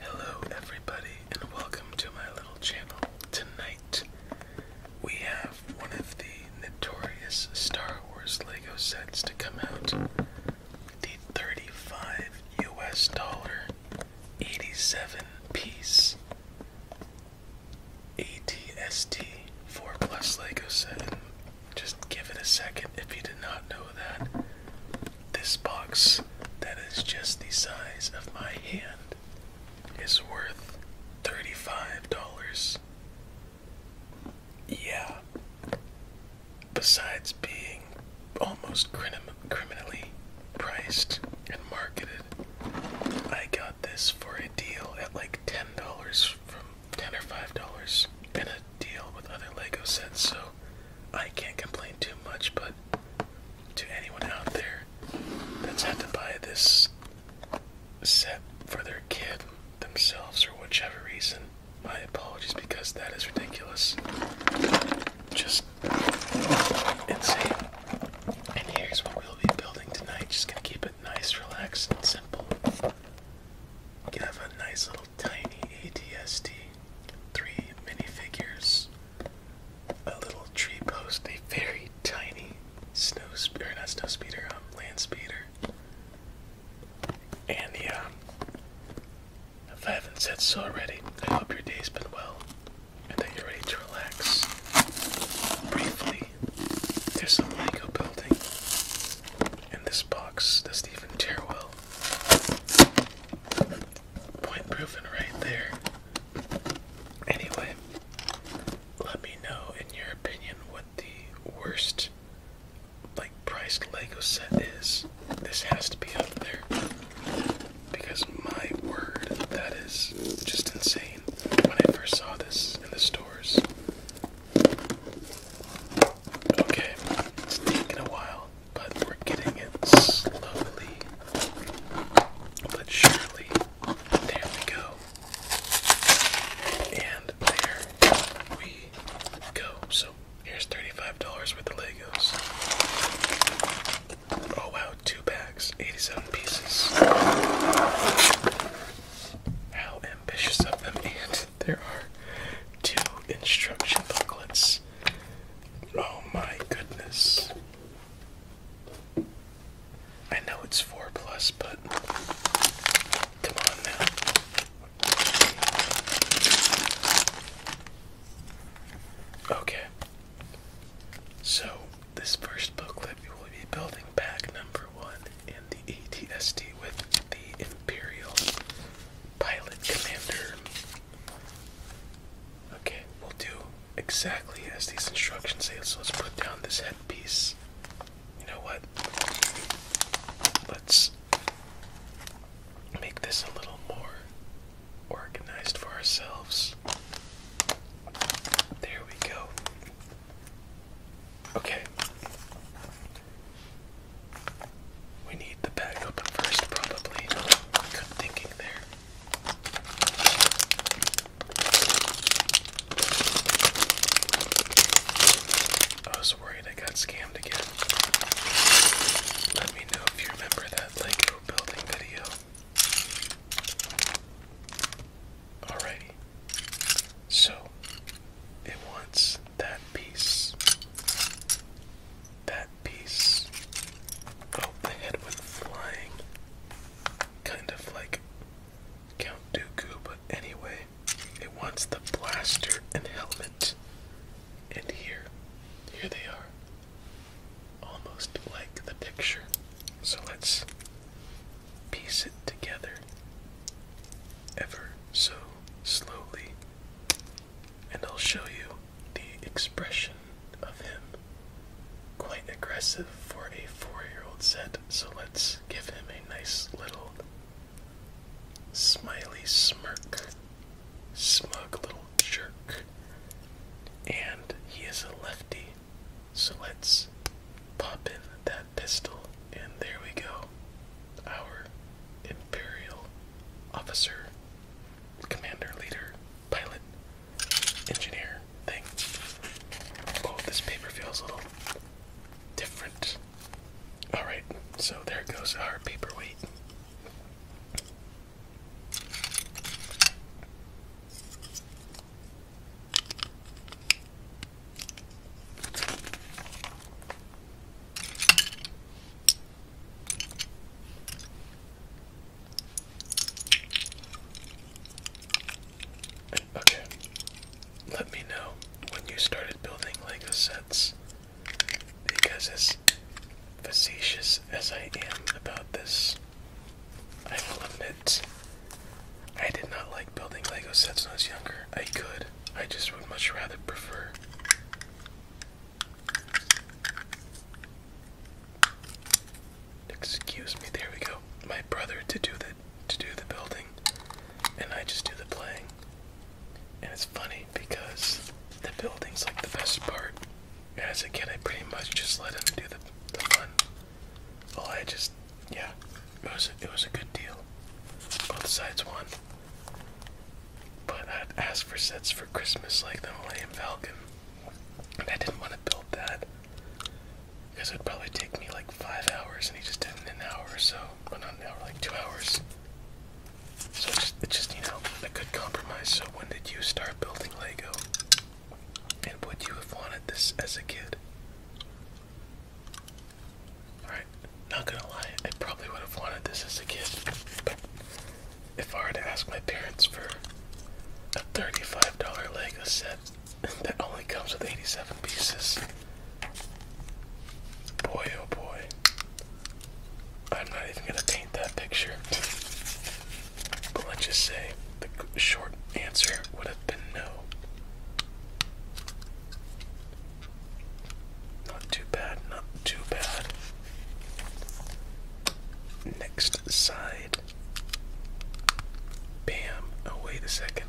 Hello, everybody, and welcome to my little channel. Tonight, we have one of the notorious Star Wars Lego sets to come out the 35 US dollar 87 piece ATST 4 plus Lego set. Just give it a second if you did not know that. This box that is just the size of my hand is worth $35. Yeah. Besides being almost criminally priced and marketed, I got this for a deal at like $10 from ten or five dollars and a deal with other Lego sets, so I can't complain too much. But to anyone out there that's had to buy this set for their kid themselves or whichever reason, my apologies because that is ridiculous. Just insane. And here's what we'll be building tonight. Just gonna keep nice, relaxed, and simple. You have a nice little tiny ATST, three minifigures, a little tree post, a very tiny snow speeder, not snow um, land and the, if I haven't said so already, I hope your day's been well and that you're ready to relax briefly there's some Lego building in this box. doesn't even tear well. Point proven right there. Anyway, let me know in your opinion what the worst like priced Lego set is. This has to be up there. Because my word, that is just insane. When I first saw this in the stores, Okay, it's taking a while, but we're getting it slowly but surely. There we go. And there we go. So here's $35 worth of Legos. Oh wow, two bags, 87 pieces. How ambitious of them! And there are two instruction booklets. Oh my goodness. I know it's 4 plus, but come on now. Okay. So, this first booklet we will be building pack number one the ATST with the Imperial Pilot Commander. Okay, we'll do exactly as these instructions say. So let's put down this headpiece. You know what? Let's make this a little more organized for ourselves. There we go. Okay. We need the bag open first, probably. Good thinking there. I was worried I got scammed again. Let me know if you remember that Lego building video. Alrighty. So it wants that piece. That piece. Oh, the head went flying. Kind of like Count Dooku, but anyway, it wants the blaster and helmet. And here, here they are. Almost like the picture. So let's piece it together ever so slowly, and I'll show you the expression of him. Quite aggressive for a four year old set, so let's give him a nice little smiley smirk, smug little jerk. And he is a lefty, so let's pop in that pistol, and there we go. Our Imperial officer, commander, leader, pilot, engineer thing. Oh, this paper feels a little different. Alright, so there goes our paperweight. Okay. Let me know when you started building Lego sets because as facetious as I am about this I will admit, I did not like building Lego sets when I was younger. I could, I just would much rather prefer. Excuse me, there we go. My brother to do the to do the building and I just do the playing. And it's funny because the building's like the best part. as a kid I pretty much just let him do the the fun well, I just, yeah, it was a, it was a good deal. Both sides won. But I'd asked for sets for Christmas like the Millennium Falcon, and I didn't want to build that because it'd probably take me like five hours, and he just did it in an hour or so, but not an hour, like two hours. So it's just, it's just you know a good compromise. So when did you start building Lego? And would you have wanted this as a kid? Alright, not gonna lie, I probably would have wanted this as a kid. But if I were to ask my parents for a $35 Lego set that only comes with 87 pieces, boy oh boy, I'm not even gonna paint that picture. But let's just say the short answer would have been no. Not too bad, not too bad. Next side. Bam. Oh, wait a second.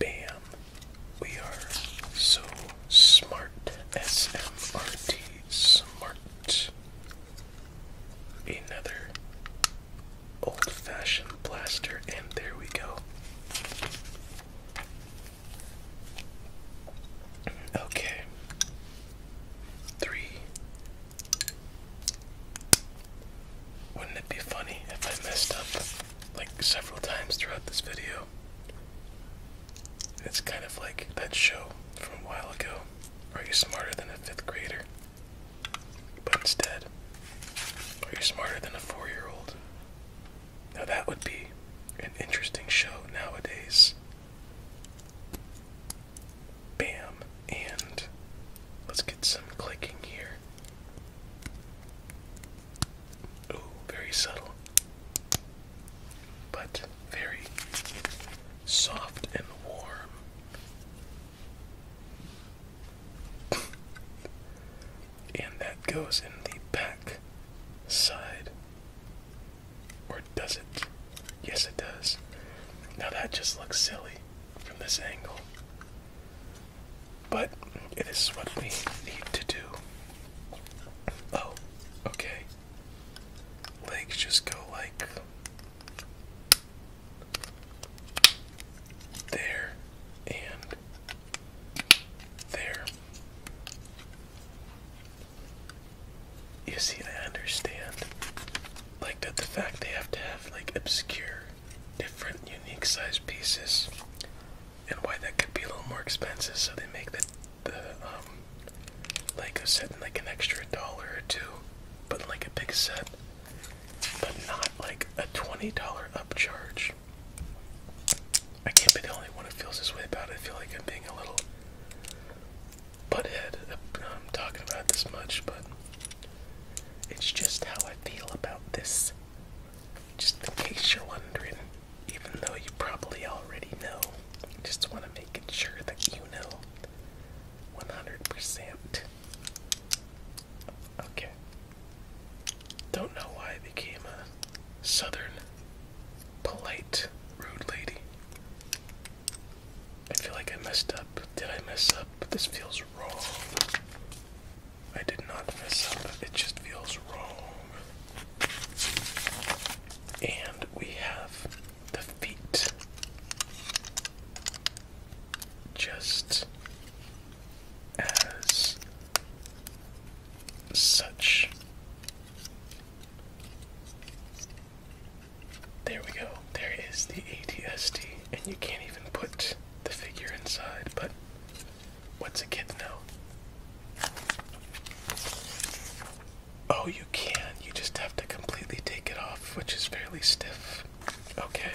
Bam. We are so smart. SMRT. Smart. Another old fashioned blaster, and there we go. Okay. Three. Wouldn't it be funny if I messed up like several times throughout this video? It's kind of like that show from a while ago. Are you smarter than a fifth grader? But instead, are you smarter than a four year old? Now that would be an interesting show nowadays. Bam. And let's get some clicking here. Oh, very subtle. But very soft and warm. and that goes in the back side. Or does it? Yes, it does. Now that just looks silly from this angle. But it is what we need to do. Oh, okay legs just go like there and there. You see, I understand. Like that, the fact they have to have like obscure, different, unique size pieces, and why that could be a little more expensive, so they make the the um like a set like an extra dollar or two, but like a big set, but not like a $20 upcharge. I can't be the only one who feels this way about it. I feel like I'm being a little butthead uh, um, talking about this much, but it's just how I feel about this. Just in case you're wondering even though you probably already know. Just want to make sure that you know 100%. Okay. Don't know why I became a southern, polite, rude lady. I feel like I messed up. Did I mess up? This feels wrong. I did not mess up. It just feels wrong. And we have the feet just as such. There we go. There is the ATSD, and you can't even put the figure inside, but What's a kid know? Oh, you can. You just have to completely take it off, which is fairly stiff. Okay.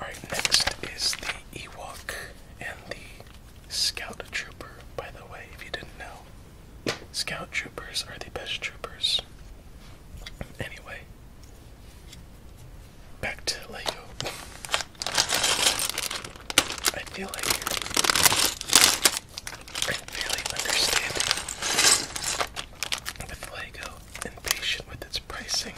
Alright, next is the Ewok and the Scout Trooper, by the way, if you didn't know. Scout Troopers are the best troopers. Anyway. Back to Lego. I feel like I'm really understanding with Lego and with its pricing.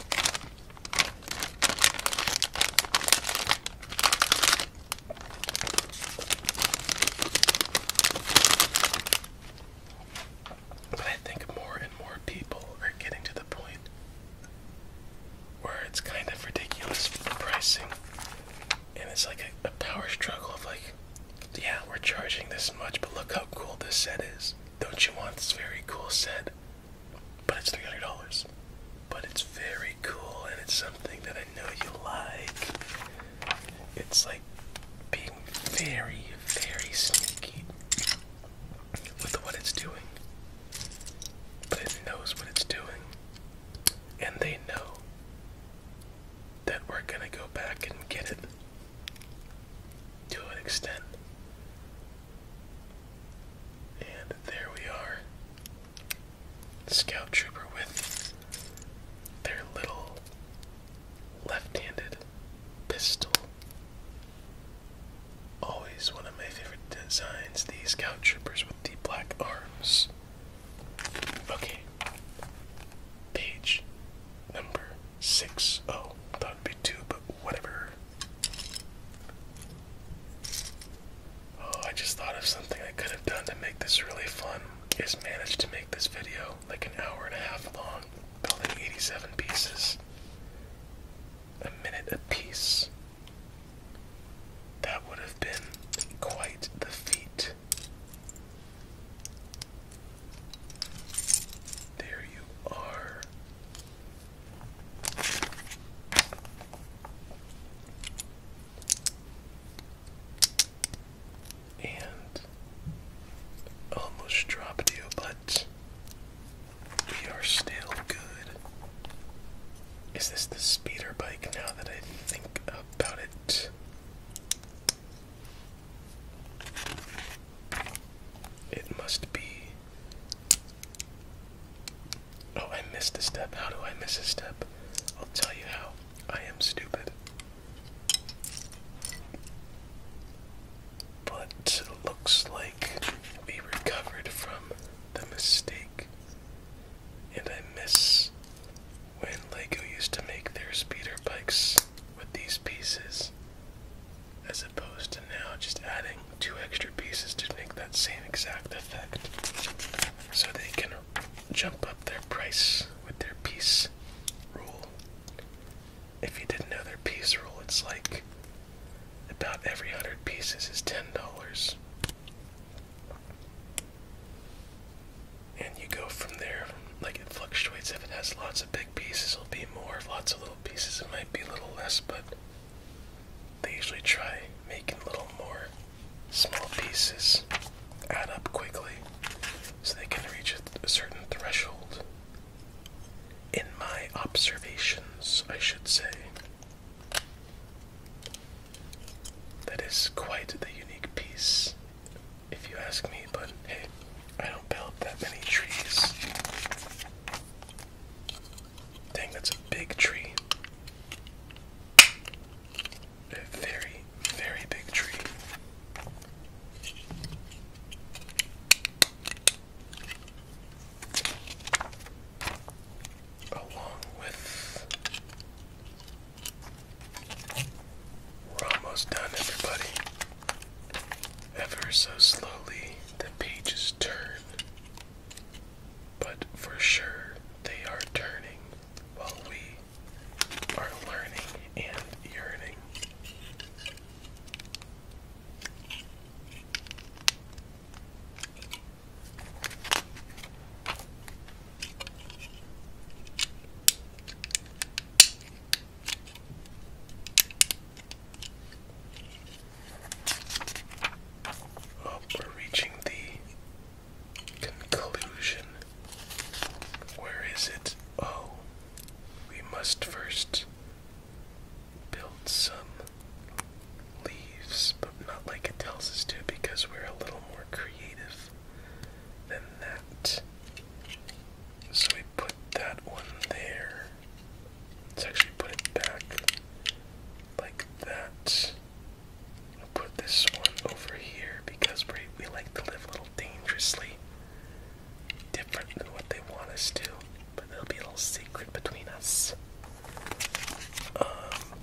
But I think more and more people are getting to the point where it's kind of ridiculous for pricing, and it's like a power struggle of like, yeah, we're charging this much, but look how cool this set is. Don't you want this very cool set? But it's three hundred dollars. But it's very cool, and it's something that I know you like. It's like being very, very sneaky with what it's doing. But it knows what it's doing. And they know that we're gonna go back and get it to an extent. And there we are. Scout Trooper with their little left handed pistol. Always one of my favorite designs, these scout troopers with the black arms. Okay. Page number six. Oh, thought it'd be two, but whatever. Oh, I just thought of something I could have done to make this really fun. Is managed to make this video like an hour and a half long, building 87 pieces a minute apiece. That would have been quite the feat. There you are. And almost dropped you, but we are still good. Is this the speeder bike now that I think about it? It must be. Oh, I missed a step. How do I miss a step? I'll tell you how. I am stupid but looks like we recovered from the mistake. And I miss when LEGO used to make their speeder bikes with these pieces, as opposed to now just adding two extra pieces to make that same exact effect. So they can jump up their price with their piece rule if you didn't know their piece rule, it's like about every hundred pieces is ten dollars. And you go from there, like it fluctuates. If it has lots of big pieces, it'll be more. If lots of little pieces, it might be a little less, but they usually try making little more small pieces add up quickly so they can reach a certain threshold in my observations, I should say. That is quite the unique piece, if you ask me, but hey, I don't build that many trees. Dang, that's a big tree. A very, very big tree. Along with we're almost done, everybody. Ever so slowly, the pages turn, but for sure they are turning while we are learning and yearning. Well, oh, we're reaching the conclusion. Where is it? Oh, we must first build some leaves, but not like it tells us to because we're a little more creative than that. So we put that one there. Let's actually put it back like that. I'll put this one over here because we, we like to live a little dangerously different than what they want us to, but there'll be a little secret between us. Um,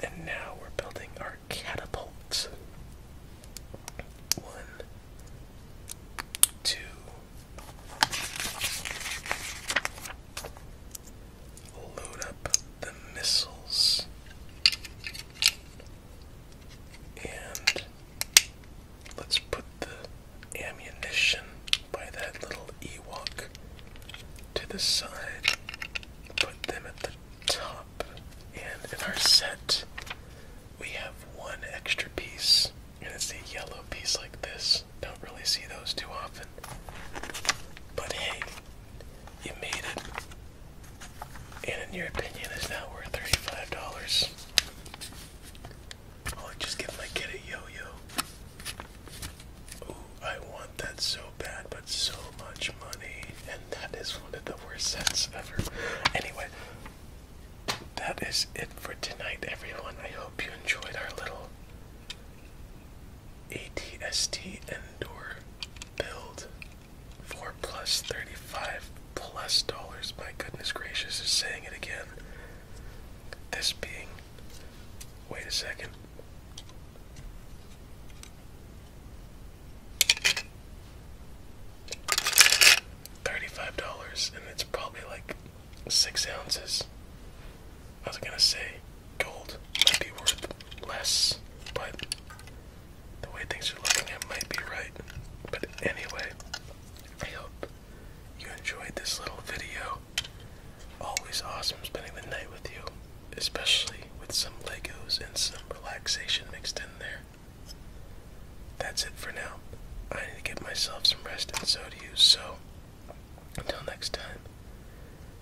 and now we're building our catapult. One, two. Load up the missiles. And let's put the ammunition by that little Ewok to the side. Put them at the top. And in our set, we have one extra piece, and it's a yellow piece like this. Don't really see those too often. But hey, you made it and in your opinion is now worth $35. I'll oh, just give my kid a yo-yo. Ooh, I want that so bad, but so much money. And that is one of the worst sets ever. Anyway, that is it for tonight, everyone. I hope you enjoyed our little ATST indoor build. Four plus thirty-five plus dollars. My goodness gracious, is saying it again. This being. Wait a second. Thirty-five dollars, and it's probably like six ounces. I was gonna say gold might be worth less, but the way things are looking, it might be right. But anyway, I hope you enjoyed this little video. Always awesome spending the night with you, especially with some Legos and some relaxation mixed in there. That's it for now. I need to get myself some rest, and so do you. So, until next time,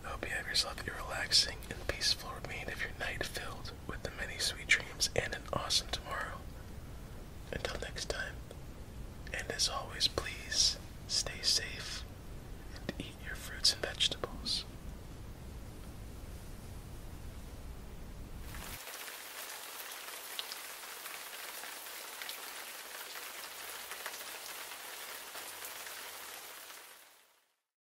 I hope you have yourself a relaxing and peaceful remainder of your night filled with the many sweet dreams and an awesome tomorrow. Until next time, and as always, please stay safe and eat your fruits and vegetables.